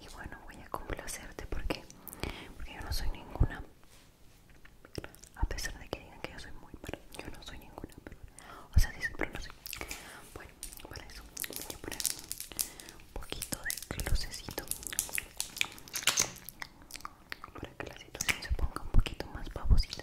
y bueno voy a complacerte porque porque yo no soy ninguna a pesar de que digan que yo soy muy pero yo no soy ninguna o sea dicen pero no soy bueno para eso voy a poner un poquito de closecito para que la situación se ponga un poquito más babosita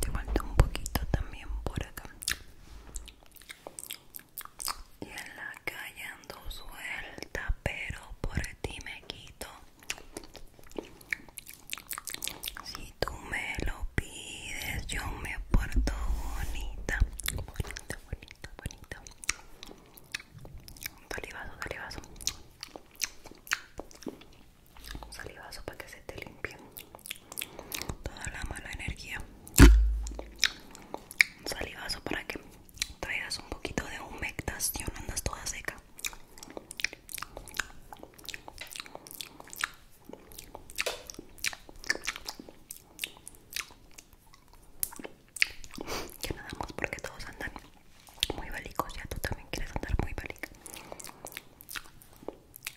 Te falta un poquito también por acá y en la calle ando suelta pero por ti me quito si tú me lo pides yo me porto bonita bonita bonita bonita salivazo salivazo salivazo para que se te limpie toda la mala energía un salivazo para que traigas un poquito de humectación andas toda seca Ya nadamos porque todos andan muy valicos, ya tú también quieres andar muy valica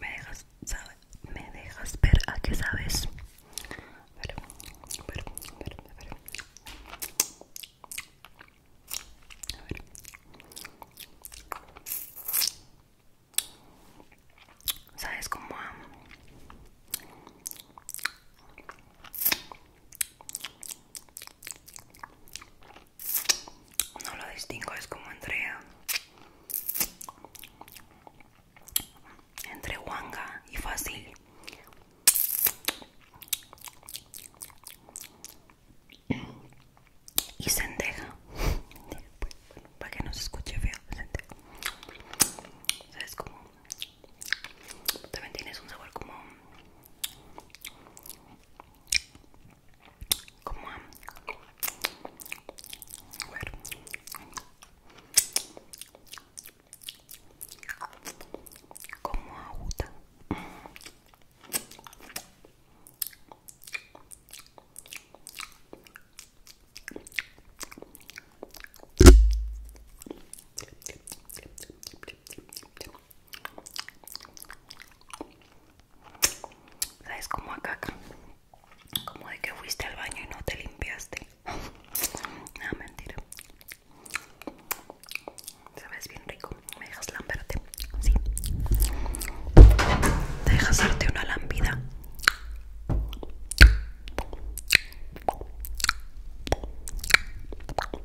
Me dejas, me dejas ver a qué sabes. ¿Sabes cómo? no lo distingo, es como entre entre wanga y fácil. Y sendeja. para que no se escuche feo, sendeja. es como. También tienes un sabor como como a, ¿Sabes? Como a caca. Como de que fuiste al baño y no te limpiaste. No, mentira. Sabes bien rico. Me dejas lamberte. Sí. Te dejas darte una lambida.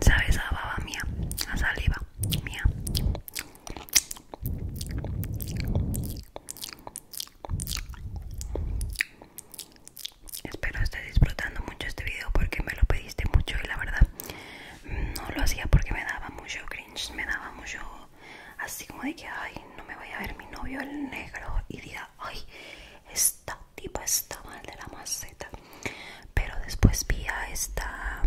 Sabes a baba mía, a saliva mía. Espero estés disfrutando mucho este video porque me lo pediste mucho y la verdad no lo hacía porque me daba mucho cringe, me daba mucho así como de que, ay, no me voy a ver mi novio el negro y diga, ay, esta tipo está mal de la maceta. Pero después vi a esta,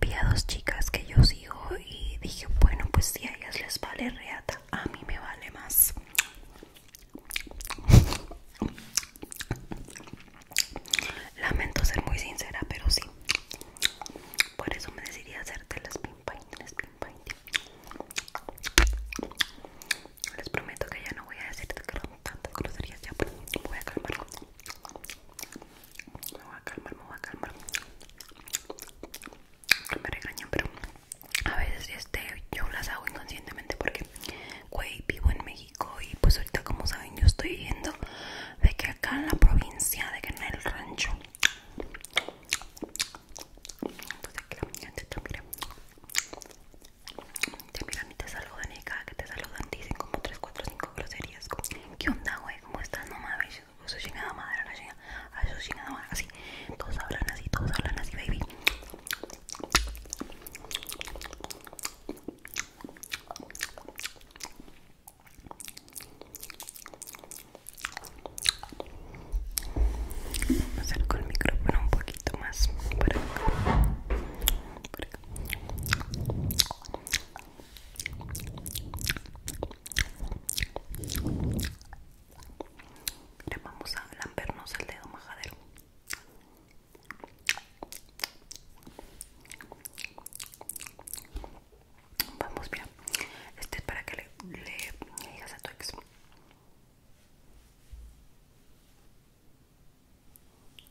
vi a dos chicas que yo sigo y dije, bueno, pues si a ellas les vale reata, a mí me vale más. Lamento ser muy sincera, pero sí. Por eso me decidí a hacerte el spin paint, las Les prometo que ya no voy a decirte que tantas groserías ya, pero me voy a calmar. Me voy a calmar, me voy a calmar. me regañan, pero a veces este, yo las hago inconscientemente porque, güey, vivo en México y pues ahorita como saben yo estoy viendo de que acá en la provincia, de que en el rancho entonces pues aquí la gente te mira mira, mi te saludan y cada que te saludan dicen como 3, 4, 5 groserías ¿Qué onda güey? ¿Cómo estás? No mames, eso es chingada madre, la chingada, eso ah, es madre, así Todos hablan así, todos hablan así baby Vamos a con el micrófono un poquito más Por acá. vamos a lambernos el dedo majadero. Vamos, bien. Este es para que le, digas a tu ex.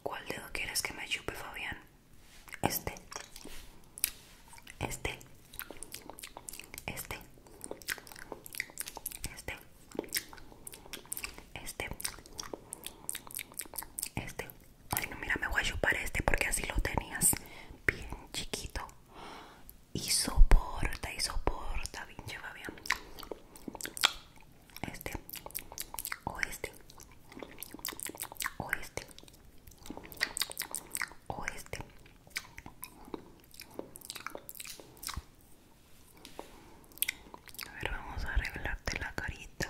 ¿Cuál dedo quieres que me chupe, Fabián? Este. Este. Este. Este. Este. Este. Ay, no, mira, me voy a chupar este porque así lo tenías bien chiquito. Y soporta, y soporta, bien Fabián Este, o este, o este, o este. A ver, vamos a arreglarte la carita.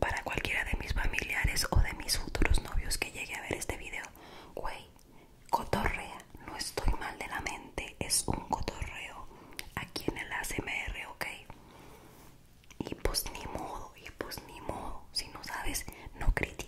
Para cualquiera de mis familiares o de mis futuros novios que llegue a ver este video, güey, cotorrea, no estoy mal de la mente, es un cotorreo aquí en el ASMR, ok. Y pues ni modo, y pues ni modo, si no sabes, no critiques.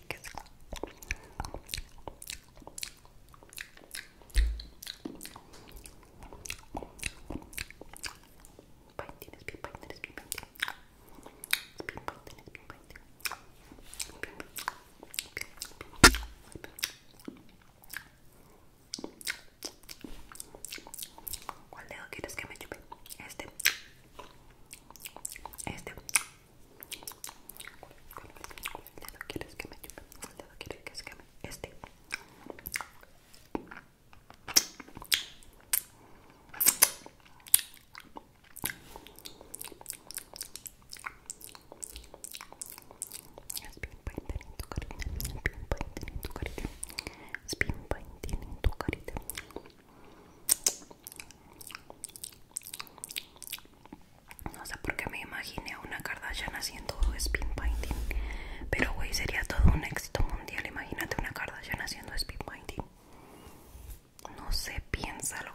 ¿Cuál dedo quieres que me chupe? Este. Este. ¿Cuál dedo que me chupe? que me Este. Es bien painter en tu carita, bien painter en tu carita, es bien tu carita. No sé por qué me imaginé una Kardashian haciendo spin painting. Pero, güey, sería todo un éxito mundial. Imagínate una Kardashian haciendo spin painting. No sé, piénsalo.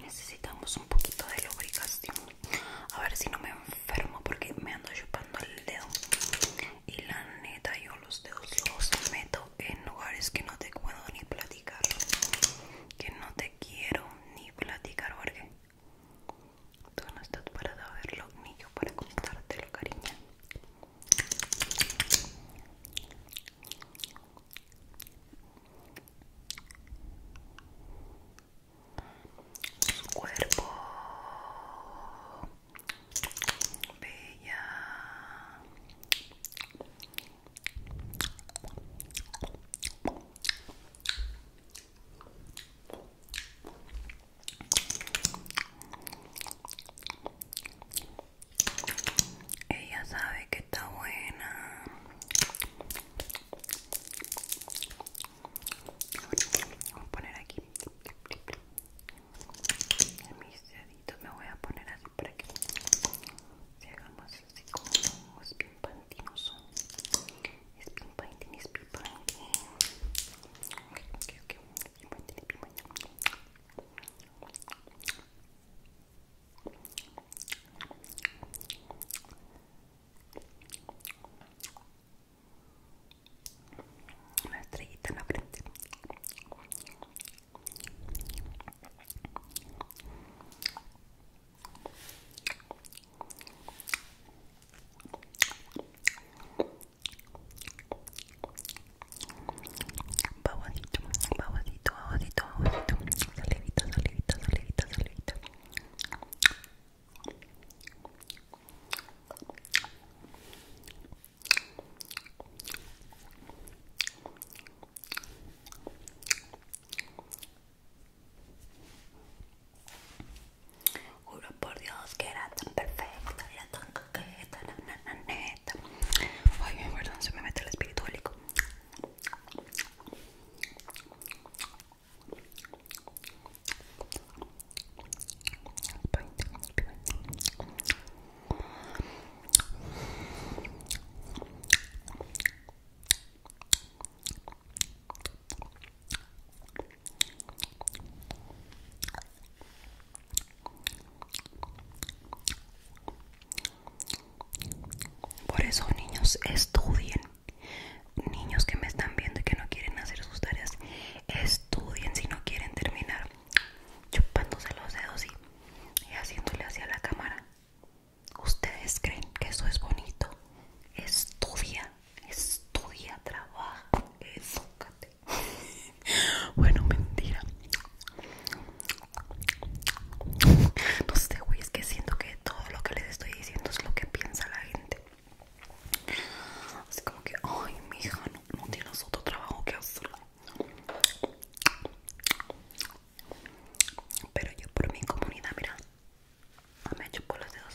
Necesitamos un poquito de lubricación. A ver si no me enfermo porque me ando chupando el dedo. Y la neta, yo los dedos los meto en lugares que no te puedo ni platicar. Que no te quiero ni platicar porque tú no estás para saberlo ni yo para contártelo, cariño su cuerpo bella ella sabe que está buena. Vamos a poner aquí. mis deditos me voy a poner así para que se hagan así como un bien pantinoso. Una estrellita en la frente babosito, babosito, babosito, babosito, salivita, salivita, salivita, salivita. Juro por Dios que era tan perfecto era tan coqueta, la nana neta. Ay, perdón, se me mete el espiritualico. Por eso niños estudien. Niños que me están viendo y que no quieren hacer sus tareas, estudien si no quieren terminar chupándose los dedos y, haciéndole hacia la cámara. ¿Ustedes creen que eso es bonito? Estudia, estudia, trabaja, bueno, mentira. No sé, güey, es que siento que todo lo que les estoy diciendo es lo que piensa la gente. Así como que, ay, mija, no, no tienes otro trabajo que hacer. Pero yo por mi comunidad, mira, me por los dedos.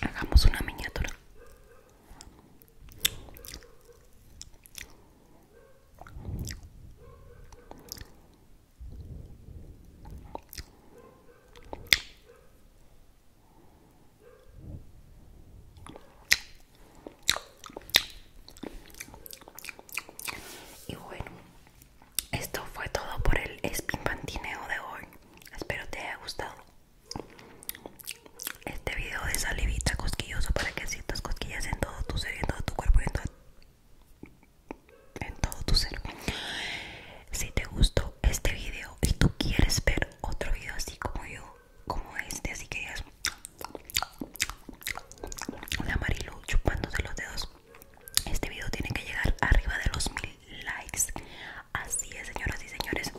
Hagamos una miniatura. Y bueno, esto fue todo por el pantineo de hoy. Espero te haya gustado este video de salivita cosquilloso para que sientas cosquillas en todo tu ser, en todo tu cuerpo en en todo tu ser. Si te gustó este video y tú quieres ver otro video así como yo, como este, así que digas la Marilu chupándose los dedos. Este video tiene que llegar arriba de los mil likes. Así es, señoras y señores.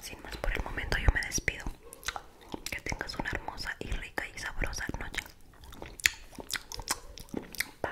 Sin más por el momento, yo me despido. Que tengas una hermosa y rica y sabrosa noche. Bye.